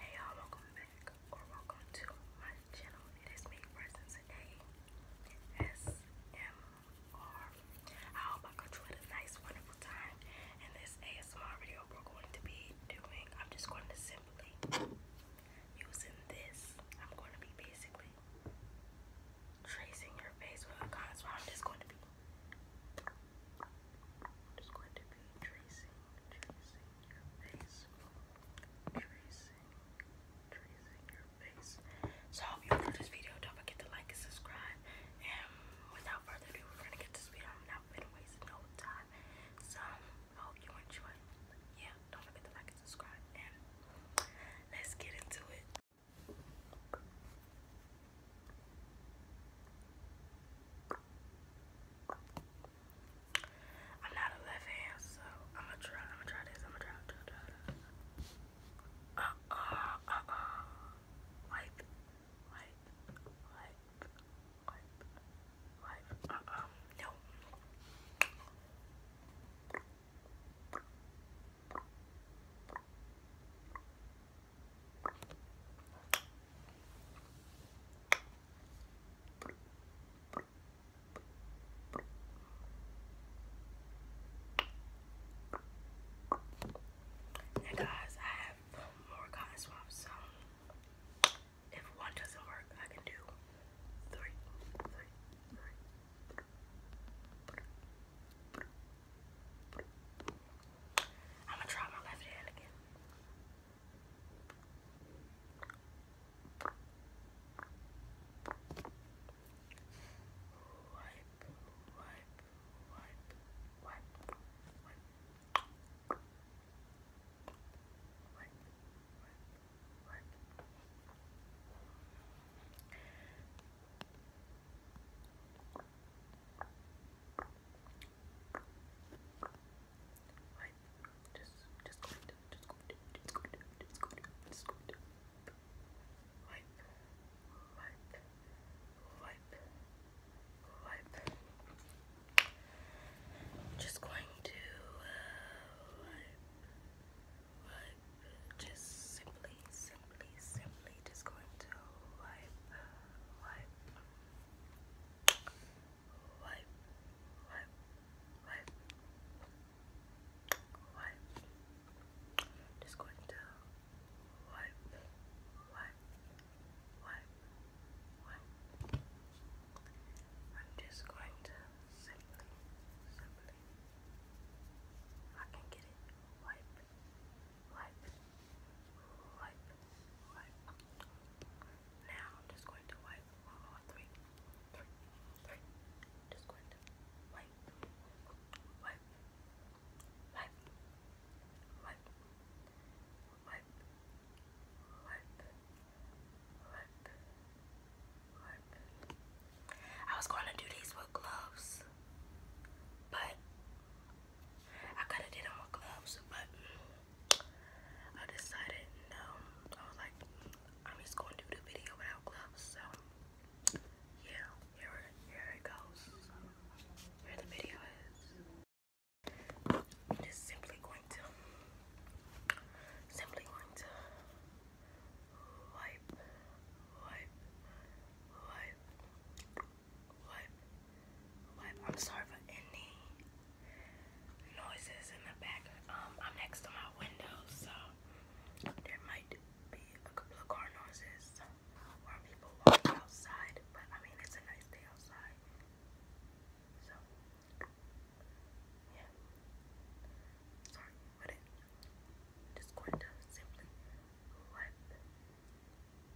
Hey y'all, welcome back or welcome to my channel. It is me, Preston hope I got you a nice, wonderful time. And this ASMR video we're going to be doing, I'm just going to simply Using this, I'm going to be basically tracing your face with a contour. I'm just going to be, just going to be tracing, tracing your face, tracing, tracing your face. So hope you enjoyed this video. Don't forget to like and subscribe. And without further ado, we're going to get this video. I'm not going to waste time. So. I oh, hope you enjoy. Yeah, don't forget to like and subscribe, and let's get into it. I'm not a left hand, so I'm gonna try. I'm gonna try this. I'm gonna try. Try. Try. Uh uh uh uh. Like life, life, no. Now guys, I have more cotton swabs, if one doesn't work, I can do three, three, three. I'm gonna try my left hand again. Wipe, wipe, wipe, wipe, wipe, Work, work, work. I'm just, just going to, just going to, just going to, just going to, just going to wipe, wipe, wipe, just going to wipe, uh, wipe. Just simply, simply, simply, just going to wipe, wipe, wipe, wipe, wipe, Just going to wipe, wipe, wipe, wipe. I'm just going to simply, simply, I can get it, wipe, wipe, wipe, wipe. Now I'm just going to wipe one Just going to wipe, wipe, I was going to do these with gloves, but I could have did them with gloves, but I decided no. I was like, I'm just going to do the video without gloves, so yeah here, here it goes. Here the video is. I'm just simply going to, simply going to wipe, wipe, wipe, wipe, wipe. I'm sorry for any noises in the back. Um, I'm next to my window, so there might be a couple of car noises why people walk outside, but I mean, it's a nice day outside. So, yeah. Sorry, but just going to simply wipe, wipe,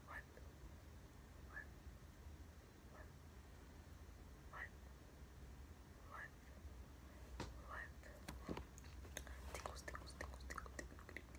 wipe, wipe, wipe, wipe, wipe. Tickles, tickles, tickles, tickles, tickles.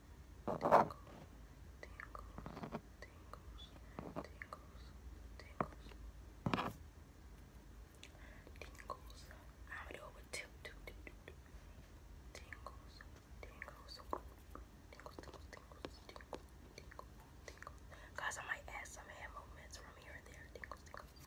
tingles, tingles, tingles, tingles, tingles. I'm gonna do it with Tingles, tingles, tingles, tingles, tingles, tingles, Guys, I might add some hand movements from here and there. Tingles, tingles,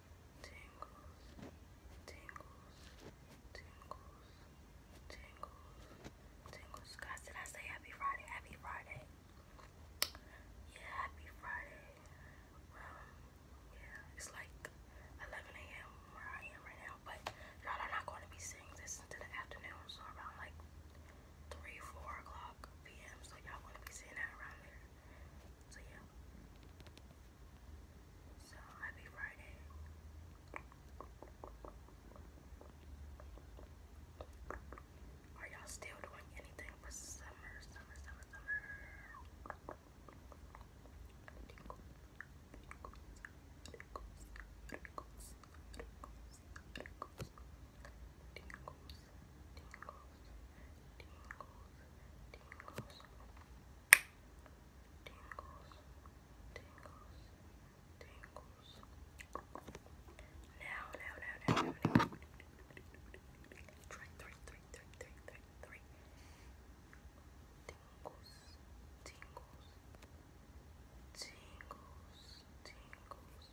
tingles, tingles, tingles, tingles, tingles. Guys, did I say happy Friday? Happy Friday. Yeah, happy Friday. Um, yeah, it's like 11 a.m. where I am right now, but y'all are not going to be seeing this into the afternoon, so around like 3, 4 o'clock p.m., so y'all going to be seeing that around there. So yeah. So happy Friday. Are y'all still doing anything for summer, summer, summer, summer? Tingles, now, now, now, now, now, Three, three, three, three, three, three, three. Tingles, tingles, tingles, tingles,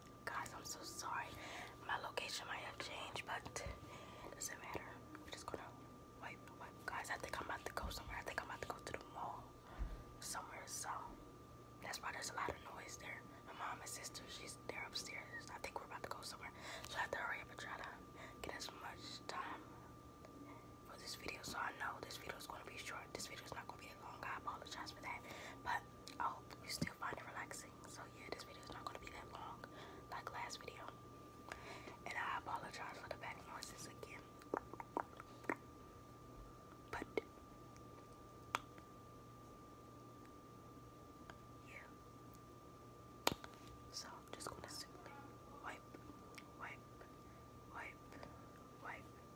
Guys, I'm so sorry. My location might have changed, but it doesn't matter. We're just gonna wipe, Guys, I think I'm about to go somewhere. I think I'm about to go to the mall somewhere, so that's why there's a lot of noise there. My mom and sister, she's there upstairs. I think we're about to go somewhere. So I have to hurry up and try to get as much time for this video. So I know this video is gonna be short. This video is not gonna be that long. I apologize for that. But I hope you still find it relaxing. So yeah, this video is not gonna be that long like last video. And I apologize for the back noises again. But yeah. So I'm just gonna simply wipe, wipe, wipe, wipe,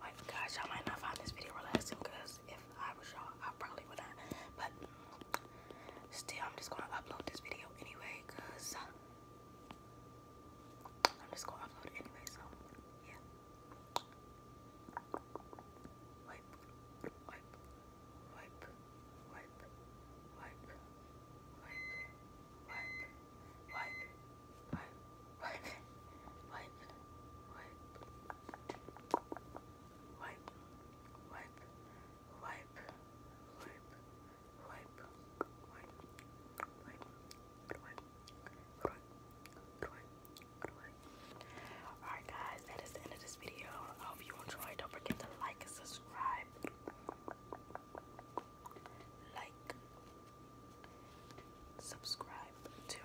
my gosh, y'all might not find this video relaxing because if I was y'all, I probably would not. But still, I'm just gonna upload this video anyway because I'm just gonna upload it anyway. So yeah. wipe, wipe, wipe, wipe, wipe, wipe, wipe wipe, wipe, wipe, wipe, wipe, wipe, wipe, wipe, wipe, Alright guys, that is the end of this video. I hope you enjoyed. Don't forget to like and subscribe. Like subscribe to.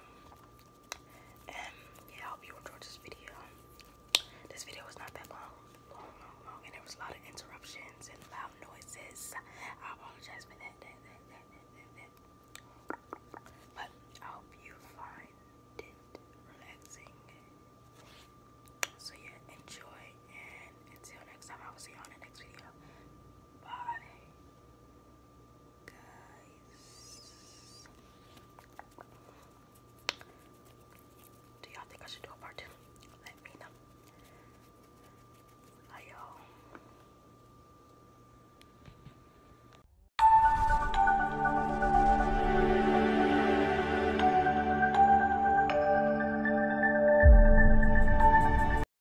And yeah, I hope you enjoyed this video. This video was not that long, long, long, long, and there was a lot of interruptions and loud noises. I apologize for that. But I hope you find it relaxing. So yeah, enjoy, and until next time, I will see you on the next video. Bye guys. Do y'all think I should do a part two? Let me know. Hi